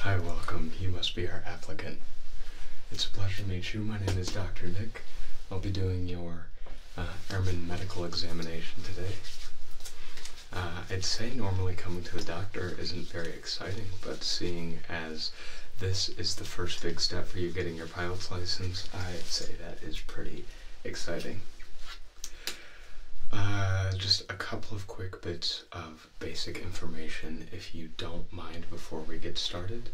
Hi, welcome. You must be our applicant. It's a pleasure to meet you. My name is Dr. Nick. I'll be doing your uh, airman medical examination today. Uh, I'd say normally coming to the doctor isn't very exciting, but seeing as this is the first big step for you getting your pilot's license, I'd say that is pretty exciting. Uh, just a couple of quick bits of basic information, if you don't mind, before we get started.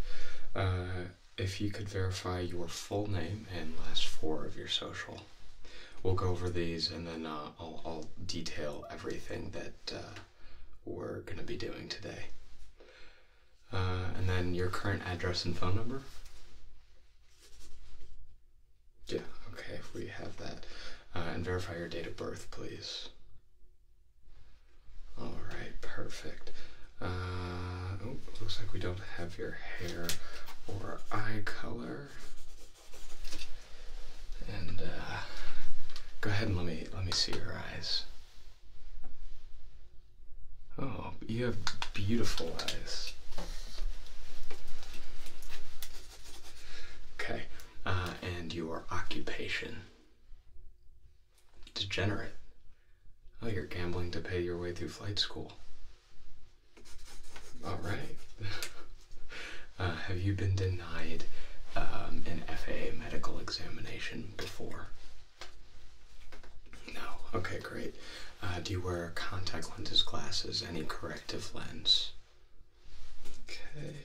Uh, if you could verify your full name and last four of your social. We'll go over these and then uh, I'll, detail everything that uh, we're going to be doing today. and then your current address and phone number. Yeah, okay, we have that. Uh, and verify your date of birth, please. Alright, perfect. Uh, oh, looks like we don't have your hair or eye color. And uh, go ahead and let me let me see your eyes. Oh, you have beautiful eyes. Okay. Uh, and your occupation. Degenerate. Oh, you're gambling to pay your way through flight school. All right. Uh, have you been denied um, an FAA medical examination before? No. Okay, great. Uh, do you wear contact lenses, glasses, any corrective lens? Okay.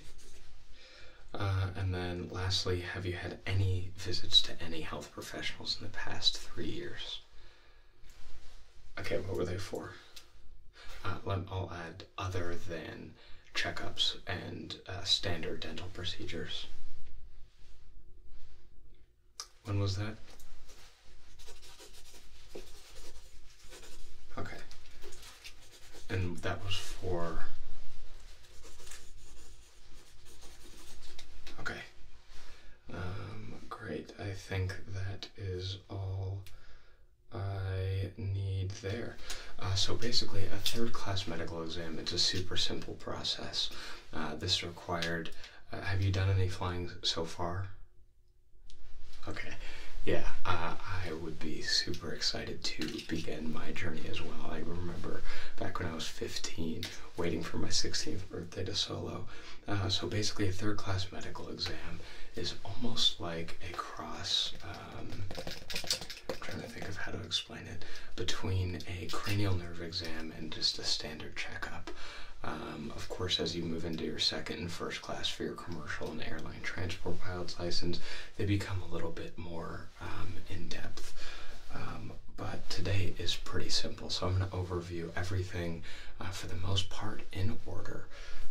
Uh, and then lastly, have you had any visits to any health professionals in the past three years? Okay, what were they for? Uh, let, I'll add other than checkups and uh, standard dental procedures. When was that? Okay and that was for okay um, great i think that is all i need there uh, so basically a third class medical exam it's a super simple process uh, this required uh, have you done any flying so far Okay. Yeah, I would be super excited to begin my journey as well. I remember back when I was 15, waiting for my 16th birthday to solo. Uh, so basically, a third class medical exam is almost like a cross. Um, I'm trying to think of how to explain it between a cranial nerve exam and just a standard checkup. Um, of course, as you move into your second and first class for your commercial and airline transport pilot's license, they become a little bit more um, in depth. Um, but today is pretty simple, so I'm going to overview everything uh, for the most part in order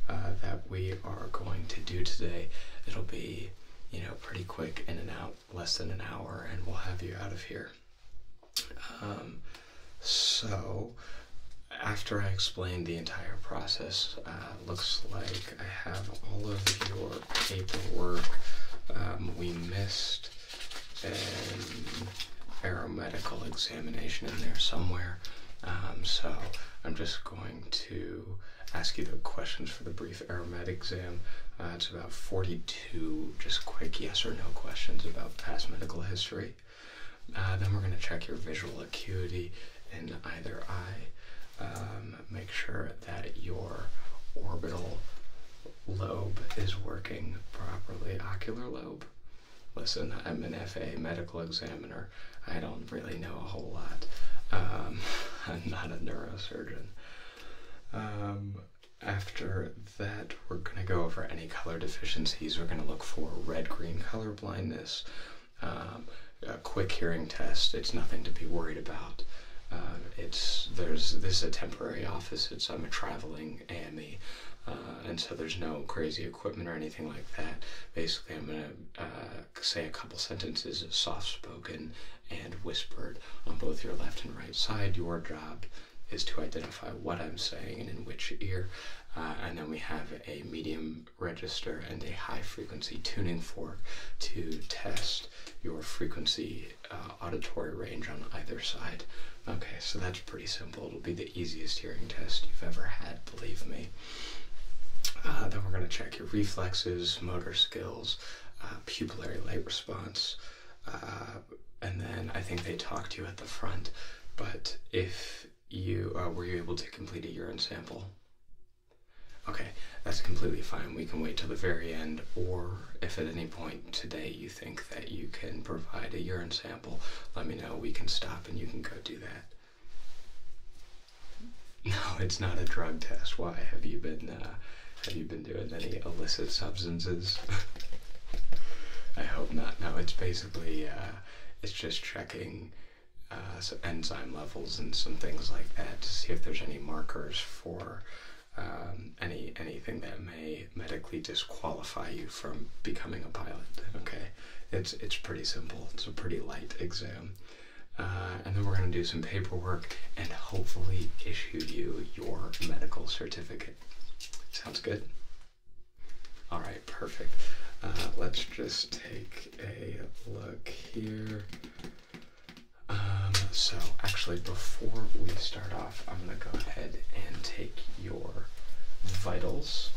uh, that we are going to do today. It'll be, you know, pretty quick in and out, less than an hour, and we'll have you out of here. Um, so after I explained the entire process, uh, looks like I have all of your paperwork. Um, we missed an aeromedical examination in there somewhere. Um, so, I'm just going to ask you the questions for the brief aeromed exam. Uh, it's about 42 just quick yes or no questions about past medical history. Uh, then we're going to check your visual acuity in either eye. Um, make sure that your orbital lobe is working properly. Ocular lobe. Listen, I'm an FA medical examiner. I don't really know a whole lot. Um, I'm not a neurosurgeon. Um, after that, we're going to go over any color deficiencies. We're going to look for red green color blindness. Um, a quick hearing test. It's nothing to be worried about. Uh, it's there's this a temporary office. It's I'm a traveling AME, uh, and so there's no crazy equipment or anything like that. Basically, I'm gonna uh, say a couple sentences, soft spoken and whispered, on both your left and right side. Your job is to identify what I'm saying and in which ear, and then we have a medium register and a high frequency tuning fork to test your frequency uh, auditory range on either side. Okay, so that's pretty simple. It'll be the easiest hearing test you've ever had, believe me. Uh, then we're going to check your reflexes, motor skills, uh, pupillary light response, uh, and then I think they talk to you at the front. But if you uh, were you able to complete a urine sample? Okay, that's completely fine. We can wait till the very end, or if at any point today you think that you can provide a urine sample, let me know. We can stop and you can go do that. No, it's not a drug test. Why have you been uh, have you been doing any illicit substances? I hope not. No, it's basically uh, it's just checking uh, enzyme levels and some things like that to see if there's any markers for um, any anything that may medically disqualify you from becoming a pilot. Okay, it's it's pretty simple. It's a pretty light exam. Uh, and then we're going to do some paperwork and hopefully issue you your medical certificate. Sounds good? All right, perfect. Uh, let's just take a look here. Um, so, actually, before we start off, I'm going to go ahead and take your vitals.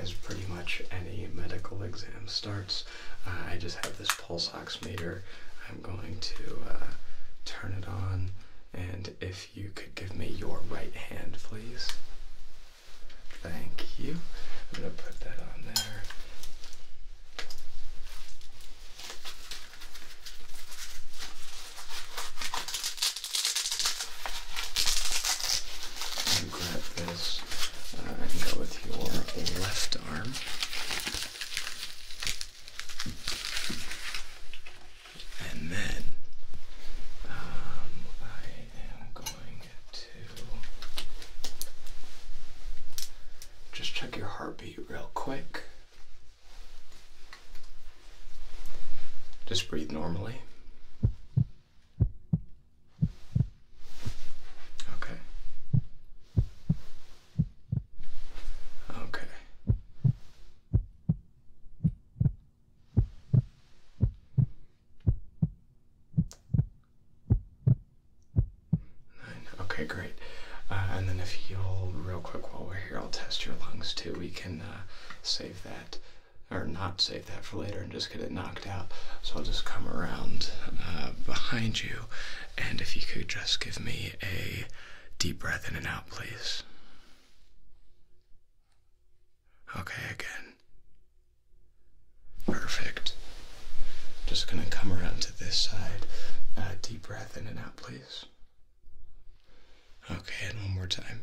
As pretty much any medical exam starts, uh, I just have this pulse oximeter. I'm going to uh, turn it on and and if you could give me your right hand, please. Thank you. I'm going to put that on there. And grab this uh, and go with your left arm and then um, I am going to just check your heartbeat real quick. Just breathe normally. Okay. Okay. Nine. Okay, great. Uh, and then if you'll, real quick while we're here, I'll test your lungs too. We can uh, save that, or not save that for later and just get it knocked out. So I'll just come around uh, behind you, and if you could just give me a deep breath in and out, please. Okay, again. Perfect. Just gonna come around to this side. Uh, deep breath in and out, please. Okay, and one more time.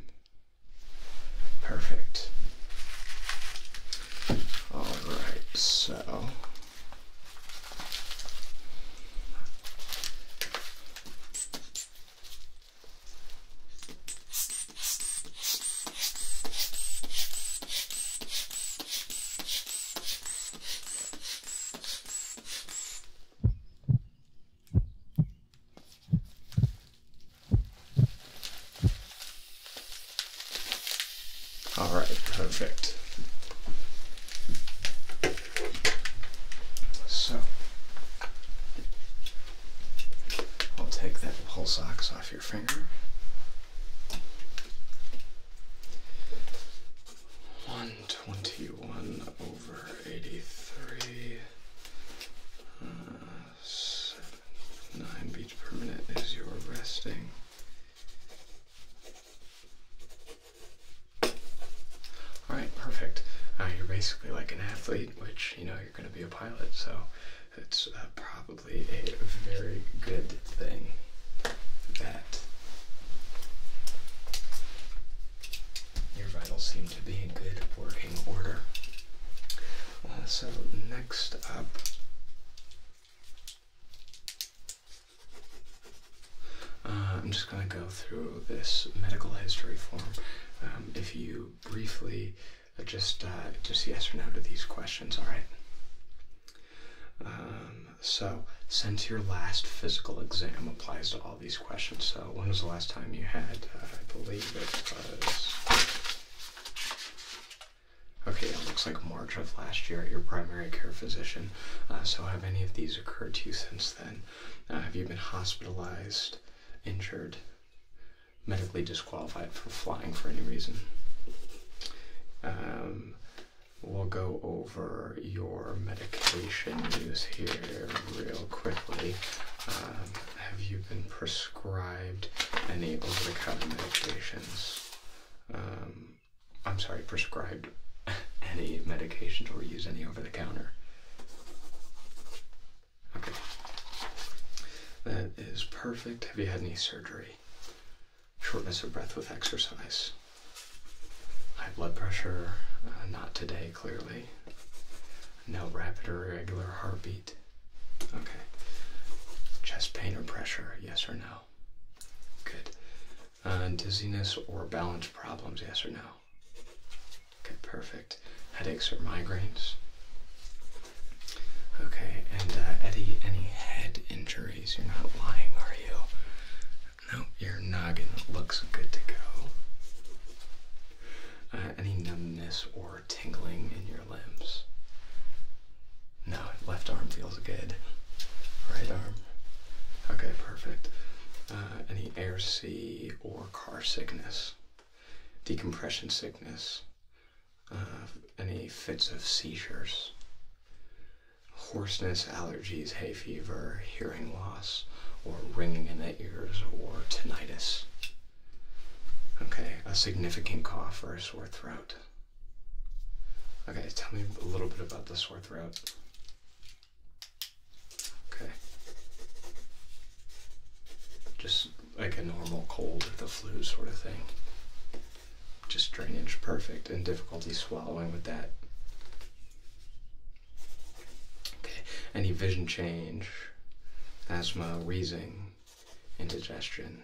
Perfect. Alright, so. All right, perfect. So I'll take that pulse ox off your finger. One twenty one over eighty three. Uh, nine beats per minute is your resting. All right, perfect. Uh, you're basically like an athlete, which you know, you're going to be a pilot. So it's uh, probably a very good thing that your vitals seem to be in good working order. Uh, so next up. Uh, I'm just going to go through this medical history form. Um, if you briefly uh, just uh, just yes or no to these questions. All right. Um, so since your last physical exam applies to all these questions, so when was the last time you had? Uh, I believe it was. Okay, it looks like March of last year at your primary care physician. Uh, so, have any of these occurred to you since then? have you been hospitalized? injured, medically disqualified for flying for any reason. Um, we'll go over your medication use here real quickly. Um, have you been prescribed any over the counter medications? Um, I'm sorry, prescribed any medications or use any over the counter? Okay. That is perfect. Have you had any surgery? Shortness of breath with exercise. High blood pressure, uh, not today, clearly. No rapid or irregular heartbeat. Okay. Chest pain or pressure, yes or no? Good. Uh, dizziness or balance problems, yes or no? Okay, perfect. Headaches or migraines? Okay, and uh, Eddie, any head injuries? You're not lying, are you? No, your noggin looks good to go. Uh, any numbness or tingling in your limbs? No, left arm feels good. Right arm? Okay, perfect. Uh, any air, sea, or car sickness? decompression sickness, uh, any fits of seizures, hoarseness, allergies, hay fever, hearing loss, or ringing in the ears, or tinnitus. Okay, a significant cough or a sore throat. Okay, tell me a little bit about the sore throat. Okay. Just like a normal cold or the flu sort of thing. Just drainage perfect and difficulty swallowing with that. Okay. Any vision change, asthma, wheezing, indigestion,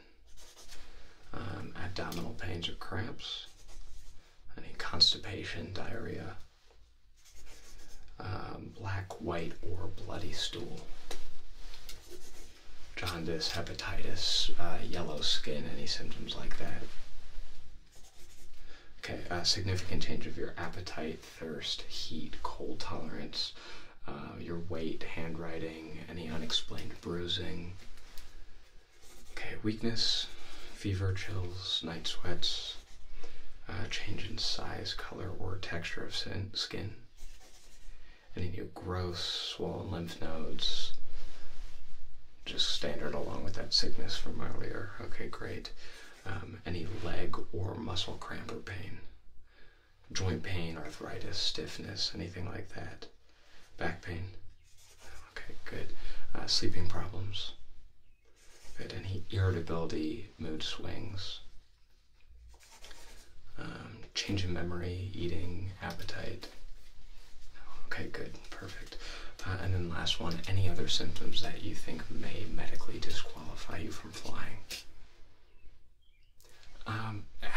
um, abdominal pains or cramps, any constipation, diarrhea. Um, black, white, or bloody stool. Jaundice, hepatitis, uh, yellow skin, any symptoms like that. Okay, uh, significant change of your appetite, thirst, heat, cold tolerance, uh, your weight, handwriting, any unexplained bruising. Okay, weakness, fever, chills, night sweats, uh, change in size, color, or texture of skin, any new growth, swollen lymph nodes, just standard along with that sickness from earlier. Okay, great. Um, any leg or muscle cramp or pain, joint pain, arthritis, stiffness, anything like that, back pain. Okay, good. Uh, sleeping problems. Right, any irritability, mood swings, um, change in memory, eating, appetite. Okay, good, perfect. Uh, and then last one, any other symptoms that you think may medically disqualify you from flying? Um,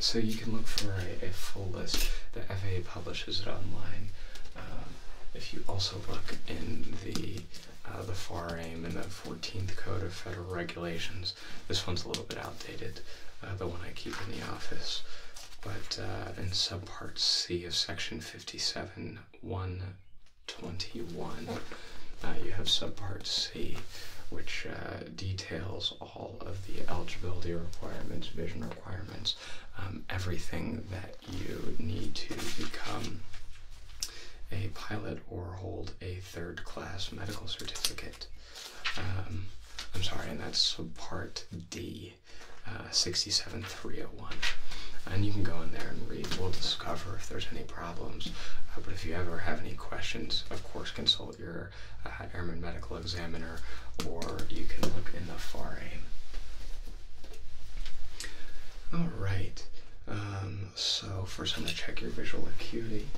so you can look for a, full list. The FAA publishes it online. Um, if you also look in the uh, the FAR AIM and the 14th Code of Federal Regulations. This one's a little bit outdated, uh, the one I keep in the office. But uh, in subpart C of section 57 121, you have subpart C, which details all of the eligibility requirements, vision requirements, um, everything that you need to become a pilot or hold a third class medical certificate. Um, I'm sorry, and that's part D, uh, sixty-seven three hundred oh one. And you can go in there and read. We'll discover if there's any problems. Uh, but if you ever have any questions, of course, consult your uh, airman medical examiner or you can look in the FAR All right. Um, so first I'm going to check your visual acuity.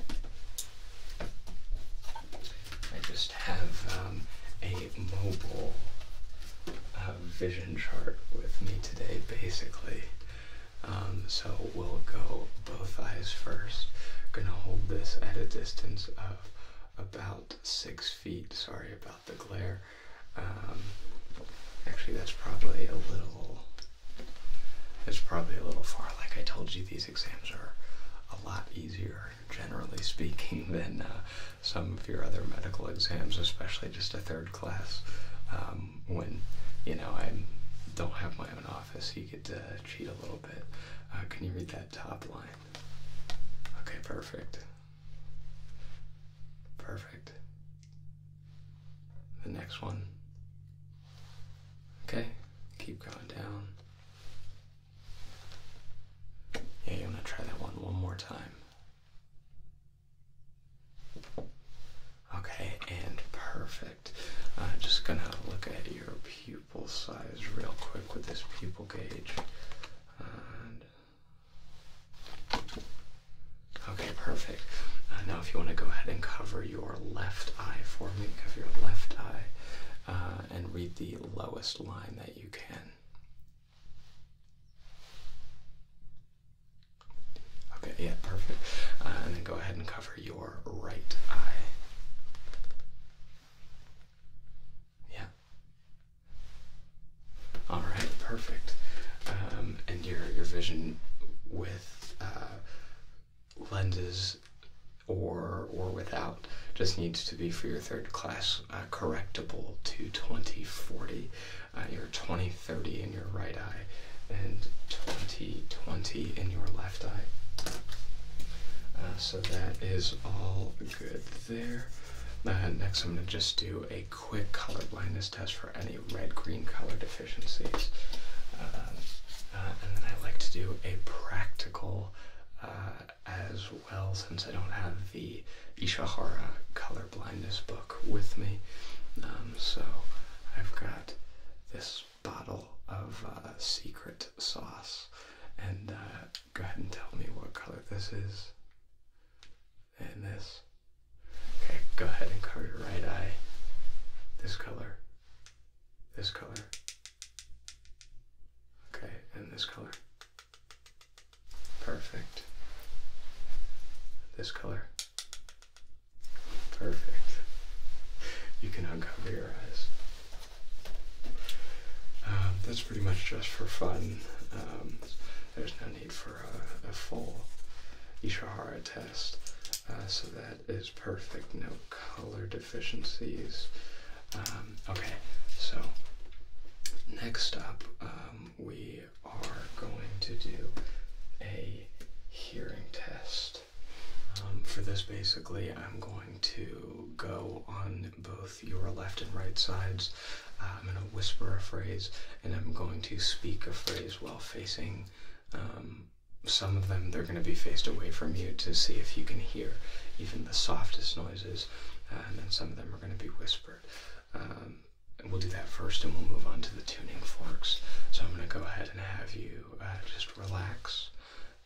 I just have um, a mobile uh, vision chart with me today, basically. Um, so we'll go both eyes first. Gonna hold this at a distance of about six feet. Sorry about the glare. Um, actually, that's probably a little. It's probably a little far. Like I told you, these exams are a lot easier, generally speaking, than uh, some of your other medical exams, especially just a third class. Um, when you know I don't have my own office, you get to cheat a little bit. Uh, can you read that top line? Okay, perfect. Perfect the next one. Okay, keep going down. Yeah, you want to try that one one more time. Okay, and perfect. I'm just gonna look at your pupil size real quick with this pupil gauge. Okay, perfect. Uh, now, if you want to go ahead and cover your left eye for me, cover your left eye uh, and read the lowest line that you can. Okay, yeah, perfect. Uh, and then go ahead and cover your right eye. Yeah. All right, perfect. Um, and your your vision with uh, lenses or or without just needs to be for your third class uh, correctable to 2040 uh, your 2030 in your right eye and 2020 in your left eye so that is all good there next i'm going to just do a quick color blindness test for any red green color deficiencies. Uh, uh, and then I like to do a practical uh, as well, since I don't have the Ishihara color blindness book with me. Um, so I've got this bottle of secret sauce, and go ahead and tell me what color this is and this. Okay, go ahead and cover your right eye. This color, this color, okay, and this color. Perfect. This color. Perfect. You can uncover your eyes. Um, that's pretty much just for fun. Um, there's no for a, full Ishihara test. Uh, so that is perfect. No color deficiencies. Um, okay, so next up, um, we are going to do a hearing test. Um, for this, basically, I'm going to go on both your left and right sides um, I'm going to whisper a phrase and I'm going to speak a phrase while facing um, some of them. They're going to be faced away from you to see if you can hear even the softest noises, uh, and then some of them are going to be whispered. Um, we'll do that first and we'll move on to the tuning forks. So I'm going to go ahead and have you uh, just relax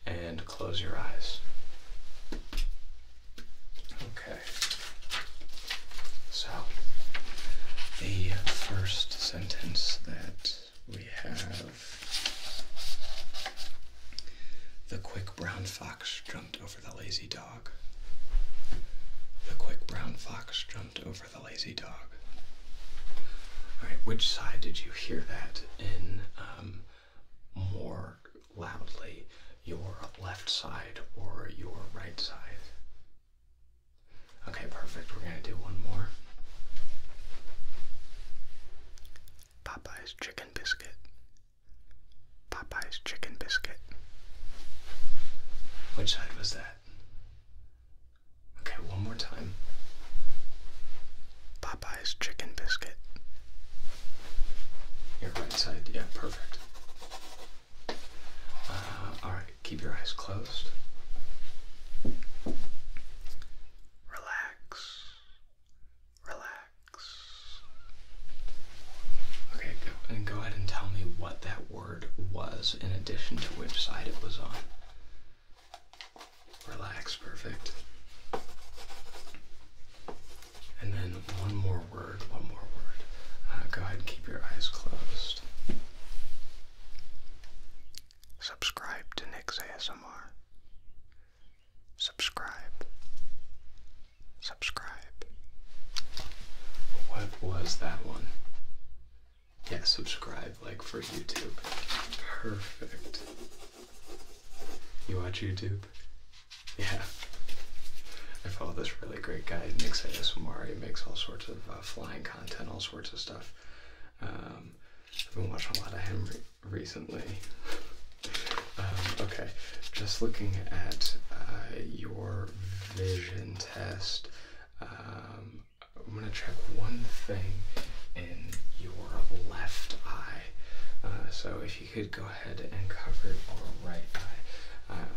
and close your eyes. Okay. So, the first sentence that we have the quick brown fox jumped over the lazy dog. The quick brown fox jumped over the lazy dog. Alright, which side did you hear that in um, more loudly? Your left side or your right side? Okay, perfect. We're going to do one more. Popeye's chicken biscuit. Popeye's chicken biscuit. Which side was that? Okay, one more time. Popeye's chicken biscuit. Your right side, yeah, perfect. Uh, Alright, keep your eyes closed. Relax. Relax. Okay, and go ahead and tell me what that word was in addition to which side it was on. Relax, perfect. And then one more one more word. Uh, go ahead keep your eyes closed. Subscribe to Nick's ASMR. Subscribe. Subscribe. What was that one? Yeah, subscribe, like for YouTube. Perfect. You watch YouTube? Yeah, I follow this really great guy, Nick ASMR. He makes all sorts of uh, flying content, all sorts of stuff. Um, I've been watching a lot of him recently. Um, okay, just looking at uh, your vision test, um, I'm going to check one thing in your left eye. Uh, so if you could go ahead and cover your right eye.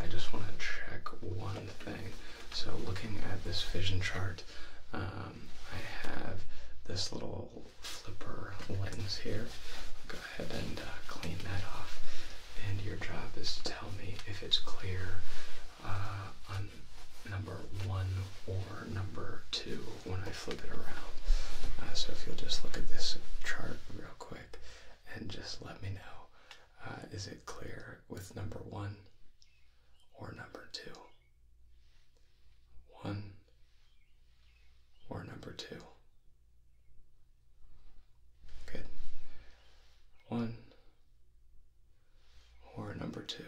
I just want to check one thing. So looking at this vision chart, um, I have this little flipper lens here. go ahead and uh, clean that off. And your job is to tell me if it's clear uh, on number one or number two when I flip it around. Uh, so if you'll just look at this chart real quick and just let me know uh, is it clear with number one or number two? One or number two? Good. One or number two?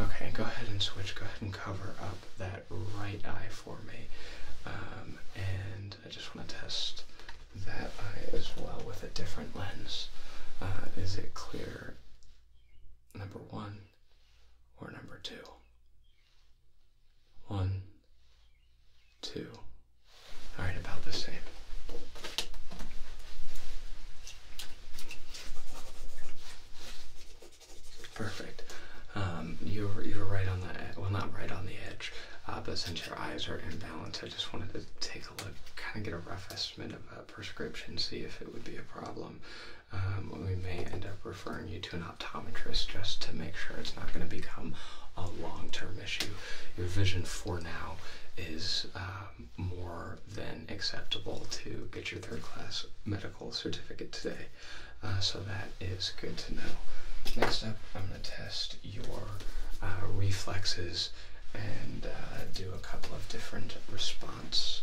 Okay, go ahead and switch. Go ahead and cover up that right eye for me. Um, and I just want to test that eye as well with a different lens. Uh, is it clear number one or number two? One, two. All right, about the same. Perfect. Um, you were you were right on the well, not right on the edge, uh, but since your eyes are in balance, I just wanted to take a look, kind of get a rough estimate of a prescription, see if it would be a problem. Um, we may end up referring you to an optometrist just to make sure it's not going to become a long-term issue. Your vision for now is um, more than acceptable to get your third-class medical certificate today, uh, so that is good to know. Next up, I'm going to test your uh, reflexes and uh, do a couple of different response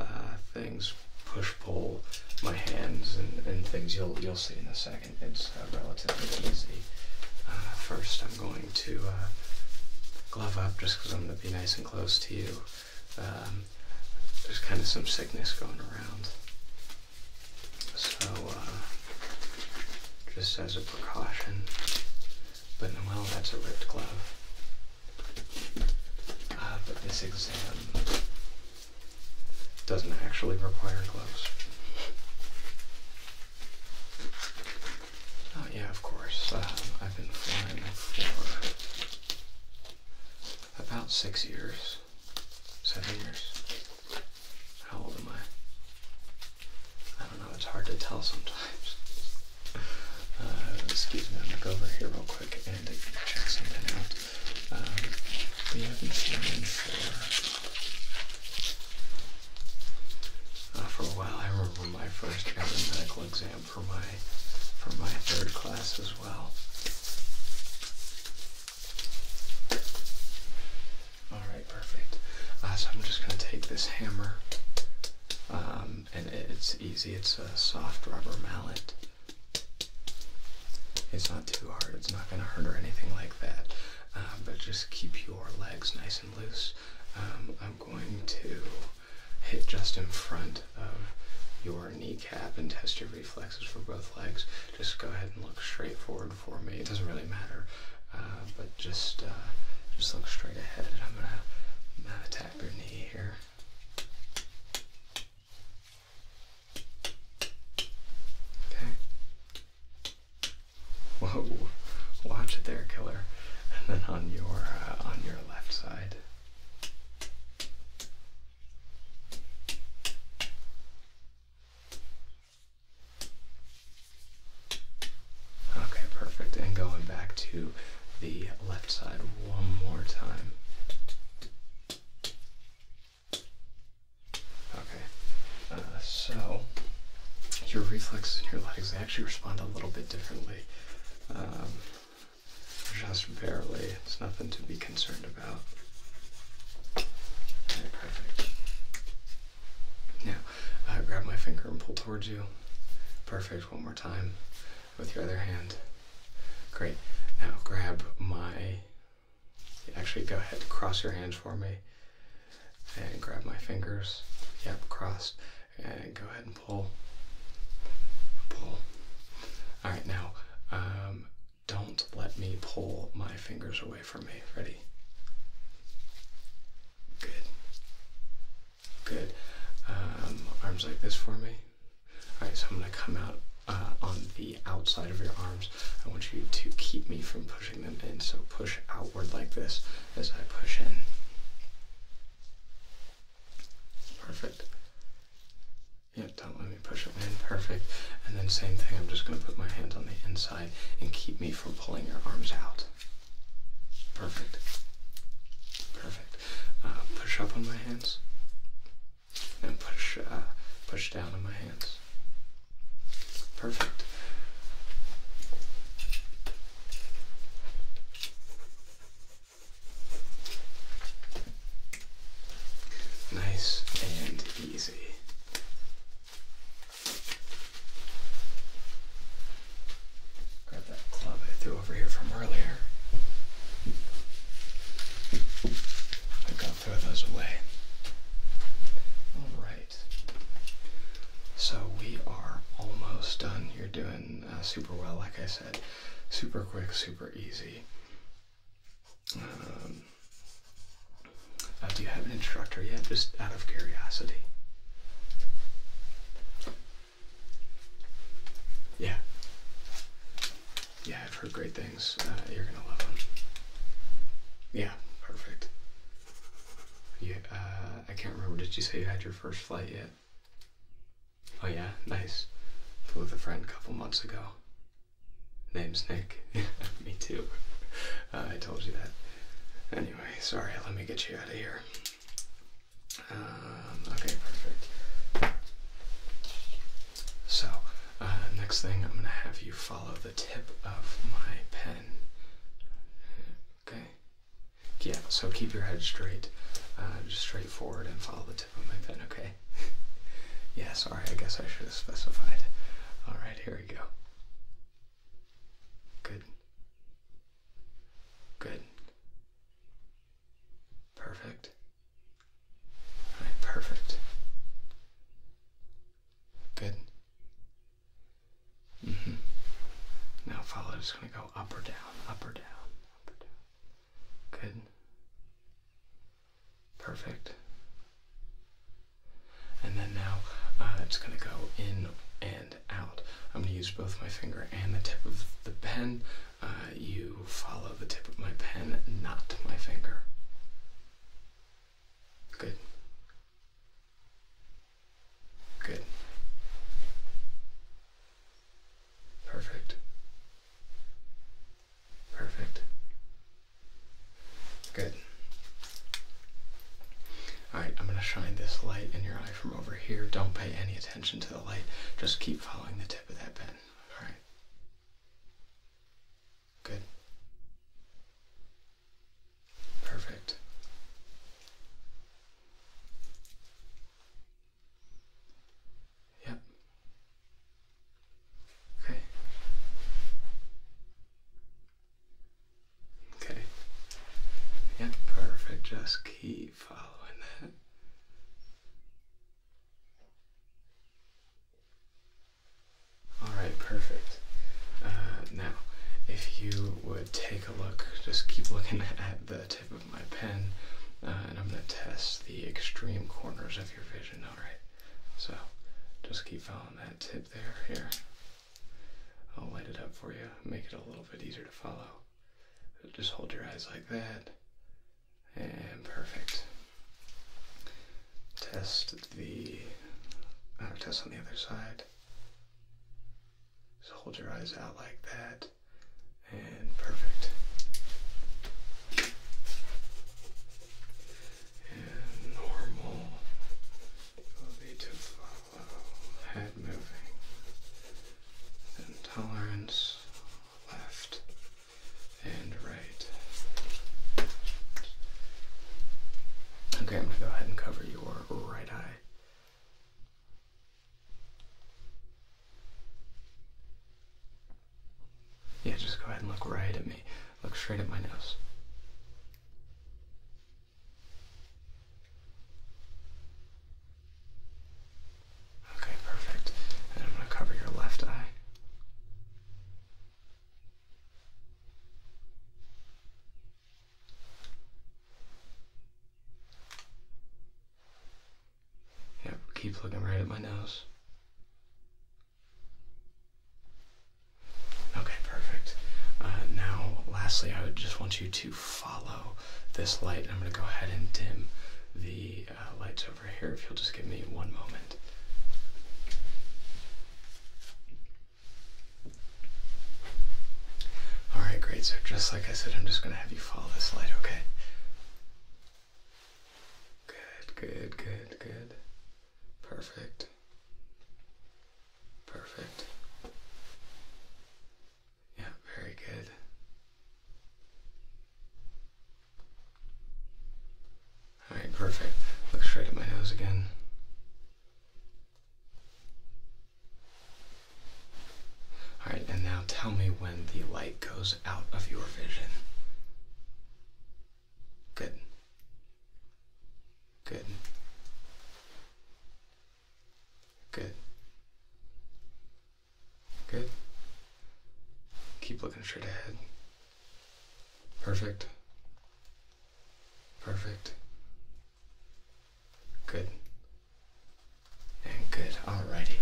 uh, things, push pull my hands and, things. You'll you'll see in a second. It's relatively easy. first, I'm going to glove up just because I'm going to be nice and close to you. Um, there's kind of some sickness going around. So, uh, just as a precaution, but well, that's a ripped glove. Uh, but this exam doesn't actually require gloves. Oh yeah, of course. Uh, I've been flying for about six years, seven years. How old am I? I don't know, it's hard to tell sometimes. Uh, excuse me, I'm gonna go over here real quick and check something out. Um, we haven't seen for, uh, for a while. I remember my first medical exam for my for my third class as well. Alright, perfect. Uh, so I'm just going to take this hammer, um, and it's easy, it's a soft rubber mallet. It's not too hard, it's not going to hurt or anything like that, um, but just keep your legs nice and loose. Um, I'm going to hit just in front of your kneecap and test your reflexes for both legs. Just go ahead and look straight forward for me. It doesn't really matter, uh, but just uh, just look straight ahead. And I'm gonna, I'm tap your knee here. Okay. Whoa! Watch it there, killer. And then on your uh, on your left side. Okay, perfect. And going back to the left side one more time. Okay, uh, so your reflexes your legs actually respond a little bit differently. Um, just barely. It's nothing to be concerned about perfect. Now, grab my finger and pull towards you. Perfect. One more time with your other hand. Great. Now, grab my. Actually, go ahead. Cross your hands for me. And grab my fingers. Yep, crossed. And go ahead and pull. Pull. All right, now um, don't let me pull my fingers away from me. Ready? Good. Good. Um, arms like this for me. Alright, so I'm going to come out uh, on the outside of your arms. I want you to keep me from pushing them in, so push outward like this as I push in. Perfect. Yeah, don't let me push perfect. And then same thing, I'm just gonna put my hands on the inside and keep me from pulling your arms out. Perfect. Perfect. Uh, push up on my hands. And push, uh, push down on my hands. Perfect. Nice and easy. Grab that club I threw over here from earlier. i got to throw those away. All right. So we are almost done. You're doing uh, super well, like I said. Super quick, super easy. Um, uh, do you have an instructor yet? Just out of curiosity. Yeah. Yeah, I've heard great things. Uh, you're gonna love them. Yeah, perfect. Yeah. Uh, I can't remember. Did you say you had your first flight yet? Oh yeah, nice. Flew with a friend a couple months ago. Name's Nick. Me too. Uh, I told you that. Anyway, sorry, let me get you out of here. Um, okay, perfect. So, uh, next thing, I'm going to have you follow the tip of my pen. Okay? Yeah, so keep your head straight. Uh, just straight forward and follow the tip of my pen, okay? yeah, sorry, I guess I should have specified. Alright, here we go. Good. Good. Perfect. perfect. Good. -hmm. Now follow. Just gonna go up or down, up or down, up or down. Good. Perfect. And then now uh, it's going to go in and out. I'm going to use both my finger and the tip of the pen. Uh, you follow the tip of my pen, not my finger. Good. Good. Perfect. Perfect. Good. Alright, I'm going to shine this light in your eye from over here. Don't pay any attention to the light. Just keep following the tip of that pen. Alright. Good. Perfect. Yep. Okay. Okay. Yeah, perfect. Just keep following that. Alright, perfect. Uh, now, if you would take a look, just keep looking at the tip of my pen, uh, and I'm going to test the extreme corners of your vision, alright? So, just keep following that tip there. Here, I'll light it up for you, make it a little bit easier to follow. Just hold your eyes like that, and perfect. Test the uh, test on the other side. Just hold your eyes out like that, and perfect and normal will be to follow head moving and tolerance left and right. Okay, I'm going to go ahead and cover your right eye. Yeah, just go ahead and look right at me. Look straight at my nose. Okay, perfect. And I'm going to cover your left eye. Yep, keep looking right at my nose. Okay, perfect. Uh, now, lastly, I would just want you to follow this light. I'm going to go ahead and dim the uh, lights over here if you'll just give me one moment. Alright, great. So, just like I said, I'm just going to have you follow this light, okay? Good, good, good, good. Perfect. Perfect. Yeah, very good. All right, perfect. Look straight at my nose again. All right, and now tell me when the light goes out of your vision. Good. Good. Good. Good. Keep looking straight ahead. Perfect. Perfect. Good. And good. All righty.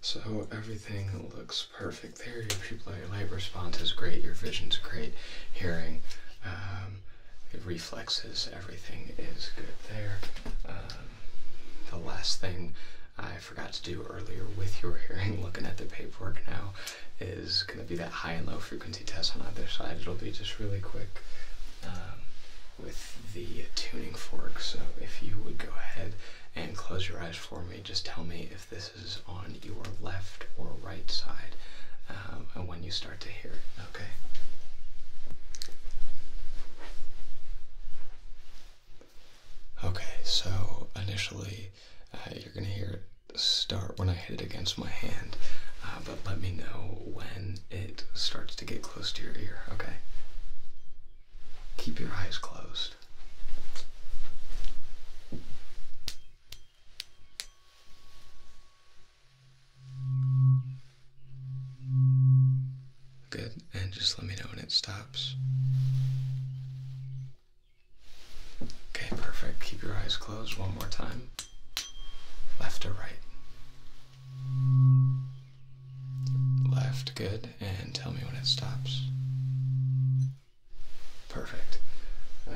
So everything looks perfect there. Your pupillary light response is great. Your vision's great. Hearing, um, reflexes, everything is good there. Um, the last thing I forgot to do earlier with your hearing, looking at the paperwork now, is going to be that high and low frequency test on either side. It'll be just really quick um, with the tuning fork. So if you would go ahead and close your eyes for me, just tell me if this is on your left or right side, um, and when you start to hear Okay. Okay, so initially uh, you're going to hear it start when I hit it against my hand. Uh, but let me know when it starts to get close to your ear, okay? Keep your eyes closed. Good, and just let me know when it stops. Okay, perfect. Keep your eyes closed one more time. Left or right? Left, good. And tell me when it stops. Perfect. Um,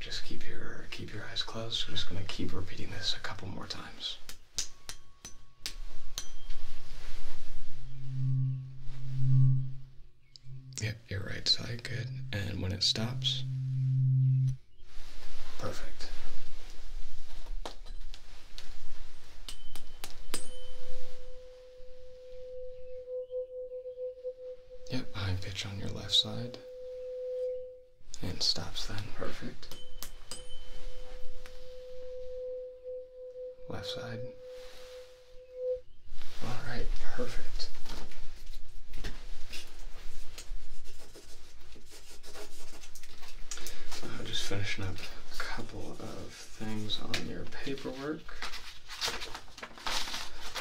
just keep your keep your eyes closed. I'm just gonna keep repeating this a couple more times. Yep, your right side, good. And when it stops, Perfect. Yep, high pitch on your left side. And stops then. Perfect. Left side. All right, perfect. Uh, just finishing up a couple of things on your paperwork.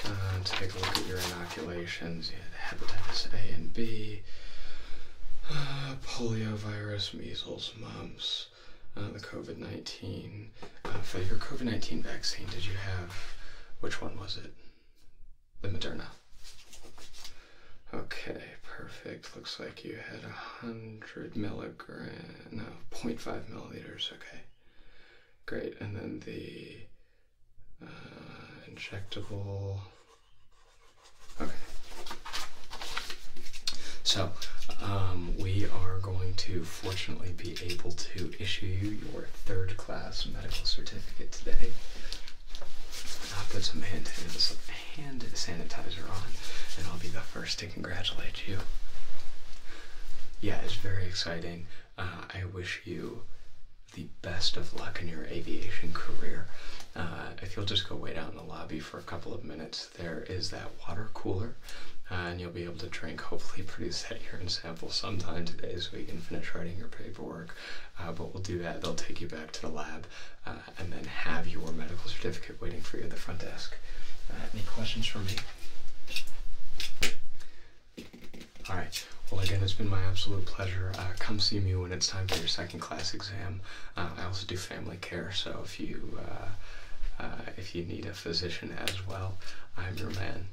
Uh, take a look at your inoculations. You had hepatitis A and B, uh, polio virus, measles, mumps, uh, the COVID 19. Uh, for your COVID 19 vaccine, did you have which one was it? the Moderna. Okay, perfect. Looks like you had a hundred milligram, no, point five milliliters. Okay, great. And then the uh, injectable. Okay. So, um, we are going to fortunately be able to issue you your third class medical certificate today. I'll put some hand, sanitizer on, and I'll be the first to congratulate you. Yeah, it's very exciting. Uh, I wish you the best of luck in your aviation career. Uh, if you'll just go wait out in the lobby for a couple of minutes, there is that water cooler, uh, and you'll be able to drink. Hopefully, produce that urine sample sometime today so we can finish writing your paperwork. Uh, but we'll do that. They'll take you back to the lab uh, and then have your medical certificate waiting for you at the front desk. Uh, any questions for me? All right. Well, again, it's been my absolute pleasure. come see me when it's time for your second class exam. I also do family care, so if you if you need a physician as well, I'm your man.